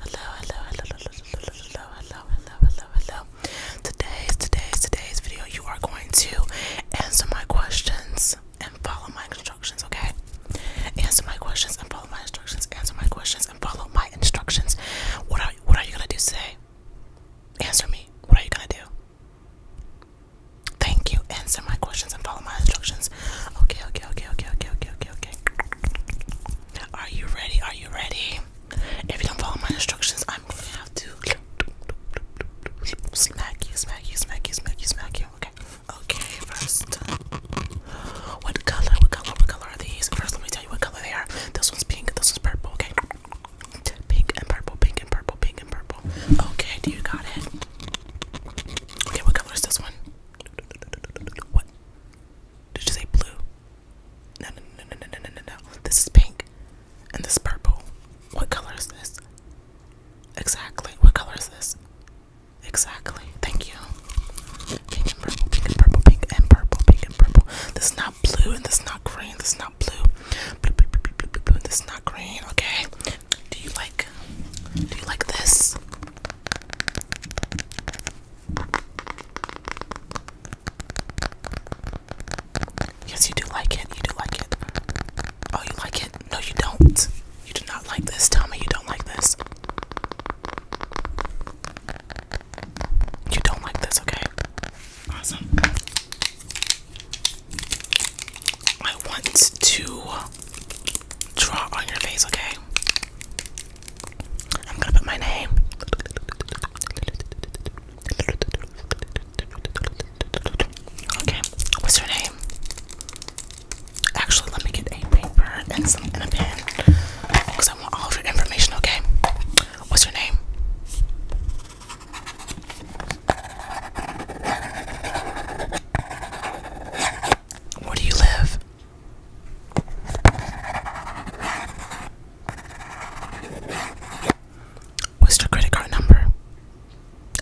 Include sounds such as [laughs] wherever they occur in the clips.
Hello, hello, hello, hello, hello, hello, hello, hello, hello, hello. Today's, today's, today's video, you are going to answer my questions and follow my instructions, okay? Answer my questions and follow my instructions. Answer my questions and follow my instructions. What are what are you gonna do today? Answer me. What are you gonna do? Thank you. Answer my questions and follow my instructions. Okay, okay, okay, okay, okay, okay, okay, okay. Are you ready? Are you ready? If you don't follow my instructions, I'm gonna have to smack you, smack you, smack you, smack you, smack you. Okay. Okay, first. Uh, what color? What color? What color are these? First, let me tell you what color they are. This one's pink. This one's purple. Okay. Pink and purple. Pink and purple. Pink and purple. Okay. Do you got it? Okay. What color is this one? Did you say blue? No, no, no, no, no, no, no, This is pink. And this is purple. What color is this? Exactly. What color is this? Exactly. Thank you. Pink and purple, pink and purple, pink and purple, pink and purple. This is not blue and this is not green. This is not blue. This is not green. Okay. Do you like do you like this? Yes, you do like it. You do like it. Oh, you like it? No, you don't. You do not like this. Tell me you don't like this. You don't like this, okay? Awesome. I want to draw on your face, okay? I'm gonna put my name. Okay, what's your name? Actually, let me get a paper and some pen because I want all your information, okay? What's your name? Where do you live? What's your credit card number?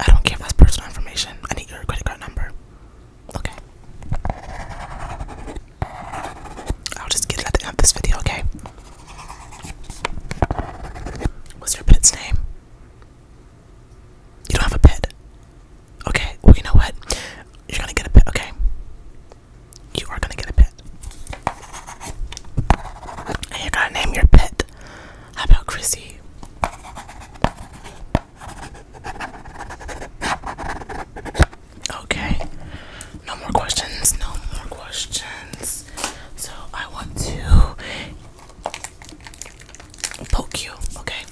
I don't care if that's personal information. I need your credit card number. Okay. I'll just get it at the end of this video, okay? What's your pet's name? You don't have a pet. Okay, well, you know what? You're gonna get a pet, okay? You are gonna get a pet. And you're gonna name your pet. How about Chrissy? Okay. No more questions. No more questions. So I want to poke you, okay?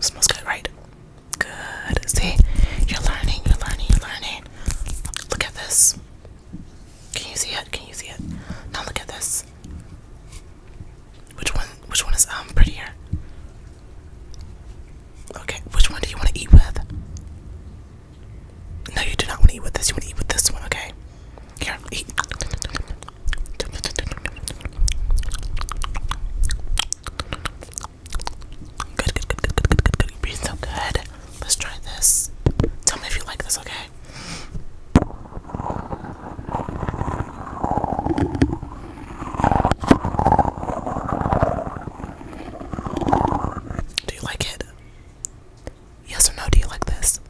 Smells good, right? Good. See, you're learning, you're learning, you're learning. Look at this. Can you see it? Can you see it? Now look at this. Which one? Which one is um prettier? Okay. Which one do you want to eat with? No, you do not want to eat with this. You want to eat with this one, okay? Here, good, good, good, good, good, good. You breathe so good. Let's try this. Tell me if you like this, okay? Do you like it? Yes or no? Do you like this?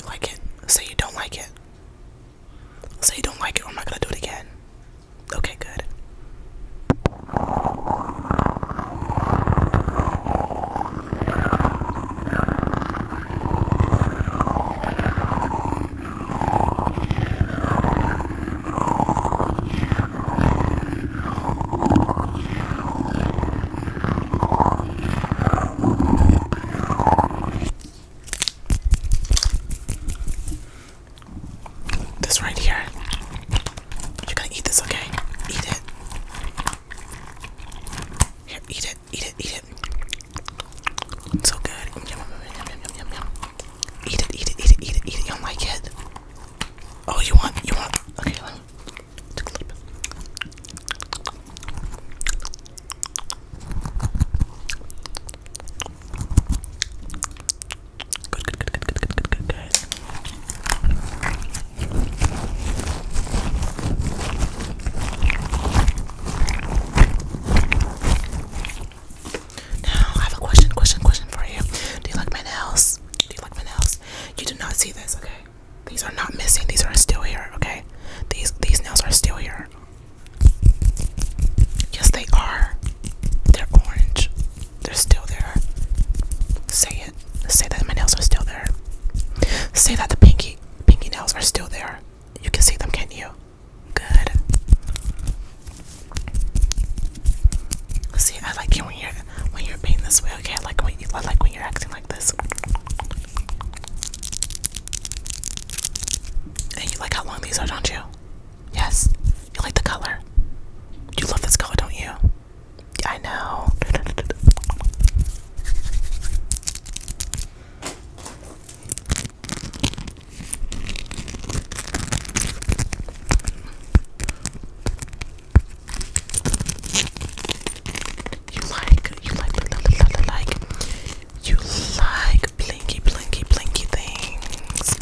You like it? Say you don't like it. Say you don't like it, or I'm not gonna do it again. Okay, good. This right here. You're gonna eat this, okay? Eat it. Here, eat it, eat it, eat it. It's so good. Yum, yum, yum, yum, yum, yum, yum. Eat it, eat it, eat it, eat it, eat it. You don't like it? Oh, you want, you want, okay, let me take a little bit. Good, good, good, good, good, good, good, good. Now I have a question, question, question for you. Do you like my nails? Do you like my nails? You do not see this, okay? These are not missing. These are still here, okay? These these nails are still here. Yes, they are. They're orange. They're still there. Say it. Say that my nails are still there. Say that the pinky pinky nails are still there. You can see them, can't you? Good. See, I like when you're when you're being this way. Okay, I like when you I like when you're acting like this. And you like how long these are, don't you? Yes. You like the color. You love this color, don't you? I know. You like, you like, like, like, you like blinky, blinky, blinky things.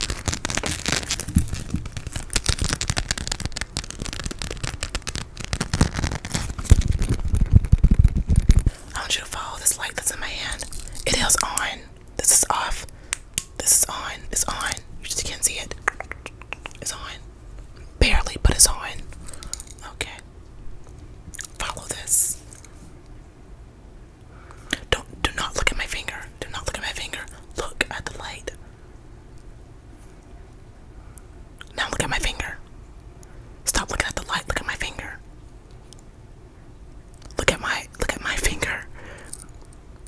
I want you to follow this light that's in my hand. It is on. This is off. This is on. It's on. You just can't see it. It's on. Barely, but it's on. Okay. Follow this. Don't do not look at my finger. Do not look at my finger. Look at the light. Now look at my finger. Stop looking at the light. Look at my finger. Look at my look at my finger.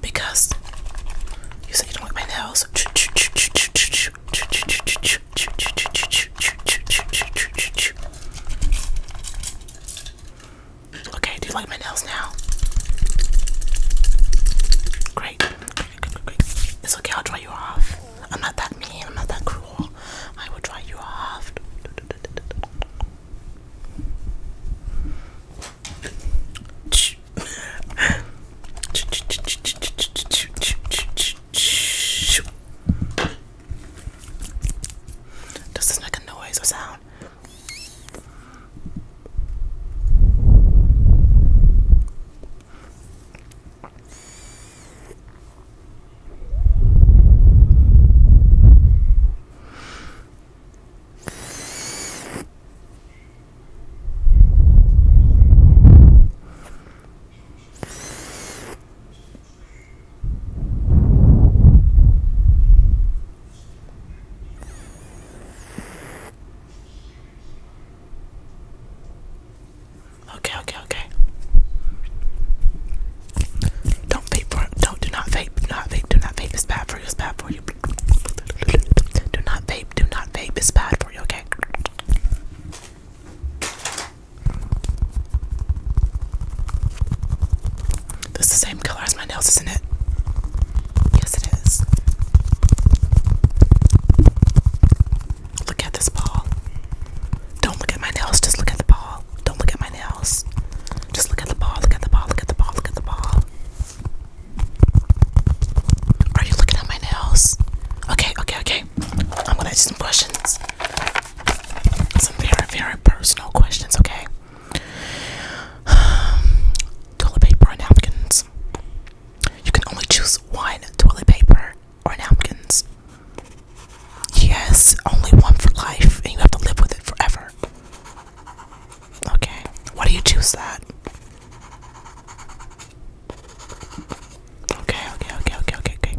because you said you don't like my nails. Okay, do you like my nails now? Great. Great, great, great. It's okay, I'll dry you off. I'm not that mean, I'm not that cruel. I will dry you off. Does this make a noise or sound? Okay, okay, okay. Don't vape for don't do not vape, not vape, do not vape. It's bad for you, it's bad for you. Do not vape, do not vape, it's bad for you, okay? This the same color as my nails, isn't it? Yes, it is. Look at this ball. Don't look at my nails, just look at the ball. Don't look at my nails. Just look at the ball, look at the ball, look at the ball, look at the ball. Are you looking at my nails? Okay, okay, okay. I'm gonna ask you some questions. Some very, very personal questions, okay? [sighs] toilet paper or napkins? You can only choose one toilet paper or napkins. Yes, only one for life, and you have to live with it forever. Okay. Why do you choose that? Okay, okay, okay, okay, okay, okay.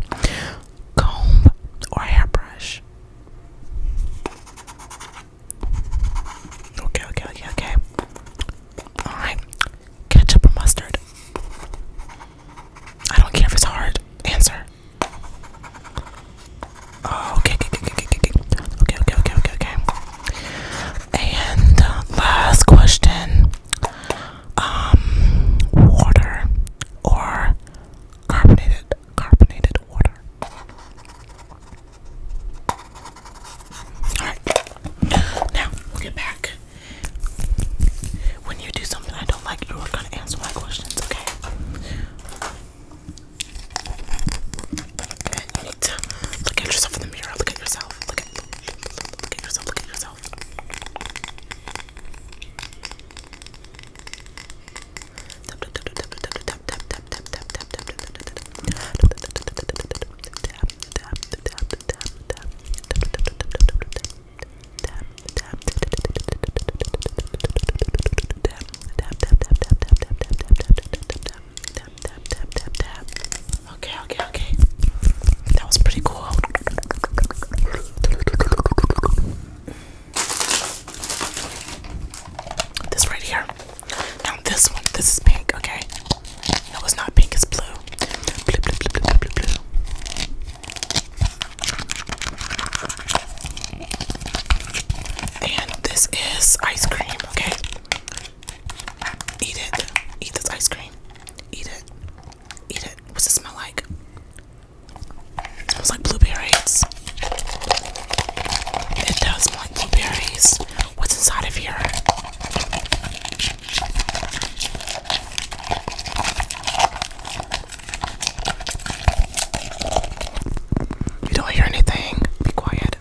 Comb or hairbrush? Okay, okay, okay, okay. Alright. Ketchup or mustard? I don't care if it's hard. Answer. Oh, okay, okay, okay, okay, okay, okay, okay, okay, okay, okay. And uh, last question: um, water or carbonated, carbonated water? All right. Now we'll get back. When you do something I don't like, you are gonna answer my questions, okay? And you need to look at yourself in the mirror. Look at yourself. Look at, look, look at yourself. Look at yourself. Tap tap tap tap tap tap tap tap tap tap tap tap tap tap tap tap Tap tap tap tap tap tap tap tap tap tap tap tap tap tap tap tap tap. Okay, okay, okay. That was pretty cool. This right here. Now this one, this is pink, okay? No, it's not pink, it's blue. Blue, blue, blue, blue, blue, blue. And this is ice cream, okay? Eat it. Eat this ice cream. Eat it. Eat it. What's it smell like? It smells like blueberries. It does smell like blueberries. What's inside of here? You don't hear anything. Be quiet.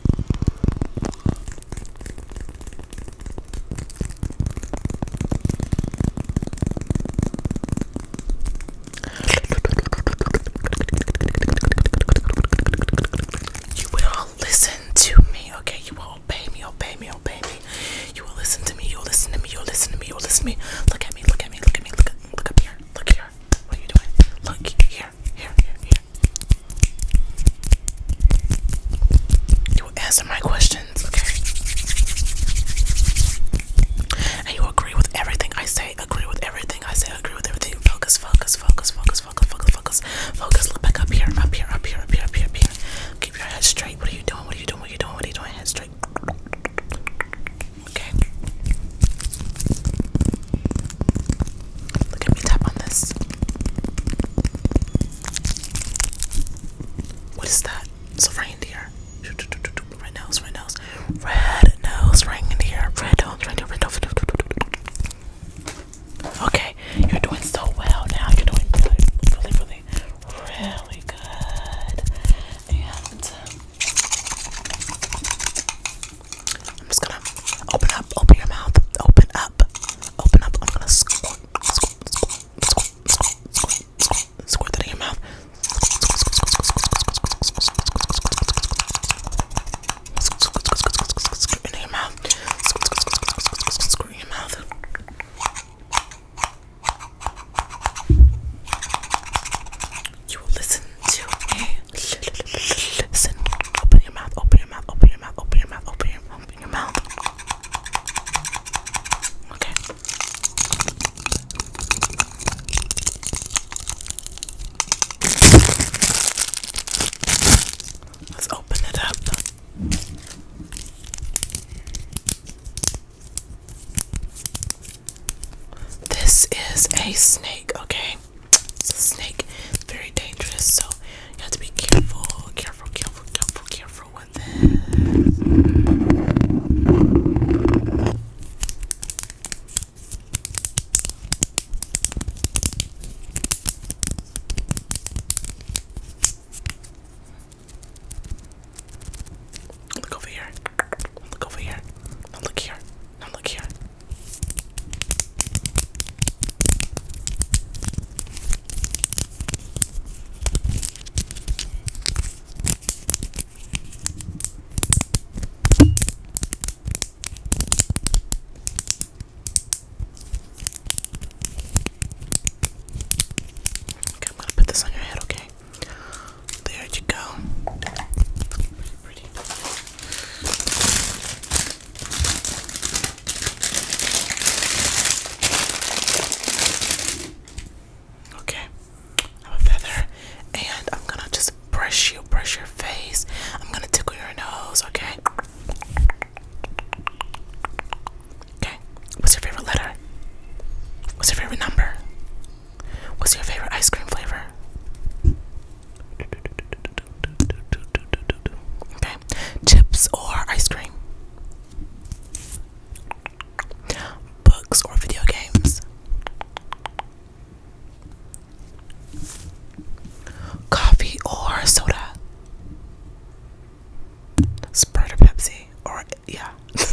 You will listen to me, okay? You will obey me, obey me, obey me. You will listen to me, you will listen to me, you will listen to me, you will listen to me. Look at me, look at me, look at me, look up here, look here. What are you doing? Look here, here, here, here, You answer my questions, okay? And you agree with everything I say, agree with everything I say, agree with everything. Focus, focus, focus, focus, focus, focus, focus, focus. Look back up here, up here, up here, up here, up here, up here. Keep your head straight. What are you doing? What are you doing? What are you doing? What are you doing? Head straight. Okay. Look at me tap on this. What is that? It's a reindeer. Red nose, red nose, red nose, reindeer, red nose, reindeer, red nose. Okay, you're doing so well now. You're doing really, really, really, really good. And um, I'm just gonna open up, open your mouth, open up, open up. I'm gonna squirt, squirt, squirt, squirt, squirt, squirt, squirt, squirt that in your mouth. Squirt in your mouth. Squirt in your mouth. You will listen to me. Open your mouth. Open your mouth. Open your mouth. Open your mouth. Open your mouth. Okay. Let's open it up. This is a snake, okay? It's a snake. very dangerous, so you have to be careful, careful, careful, careful, careful with this. Look over here. Look over here. look here. Now look here. Okay, I'm gonna put this on your head, okay? There you go. Okay. have a feather and I'm gonna just brush you, brush your face. I'm gonna tickle your nose, okay? Okay. What's your favorite letter? What's your favorite number? What's your favorite ice cream flavor? Okay, chips or ice cream? Books or video games? Coffee or soda? Sprite or Pepsi? Or, yeah. [laughs]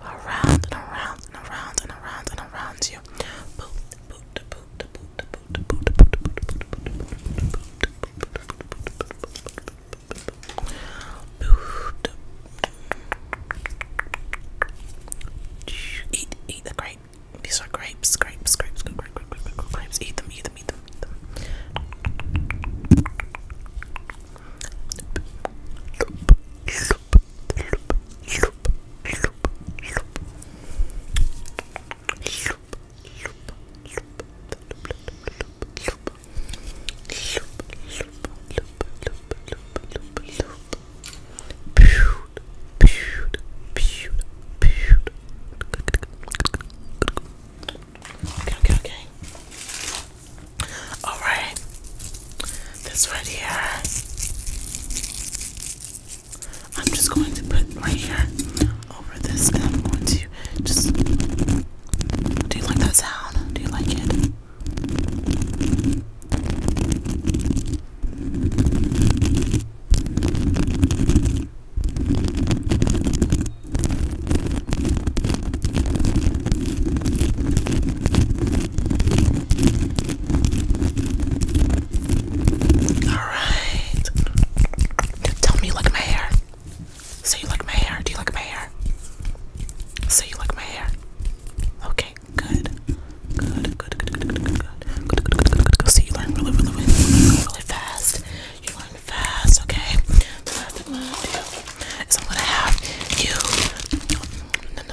around and around and around and around and around you. Boot, boot, boot, boot, boot, boot, boot, boot, Eat, eat the grape. These are grapes, grapes, grapes, grapes, grapes. Eat them, eat them, eat them, eat them. Okay, okay, okay. Alright this right here. I'm just going to put right here over this, and I'm going to just. Do you like that sound? Do you like it? Alright. Tell me you like my hair. Say you like my hair. Do you like my hair? Say you like my hair. Okay, good. Good, good, good, good, good, good, good. Good, good, good, good, good. See, you learn really, really, really, fast. You learn fast, okay? what I'm gonna have you.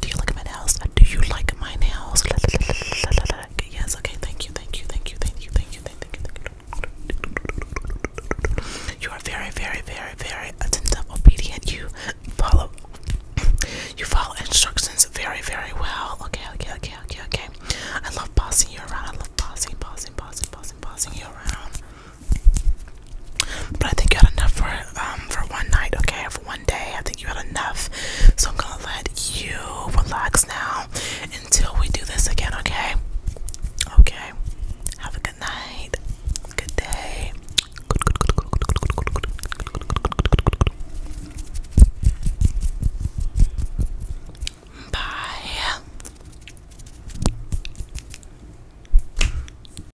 Do you like my nails? Do you like my nails? Yes, okay, thank you, thank you, thank you, thank you, thank you, thank you, You are very, very, very, very attentive, obedient. You follow you follow instructions very, very well. Okay, okay, okay, okay, okay. I love bossing you around. I love bossing, bossing, bossing, bossing, bossing you around. But I think you had enough for um for one night, okay, for one day. I think you had enough. So I'm gonna let you relax now until we do this again, okay? Okay. Have a good night. Good day. Bye.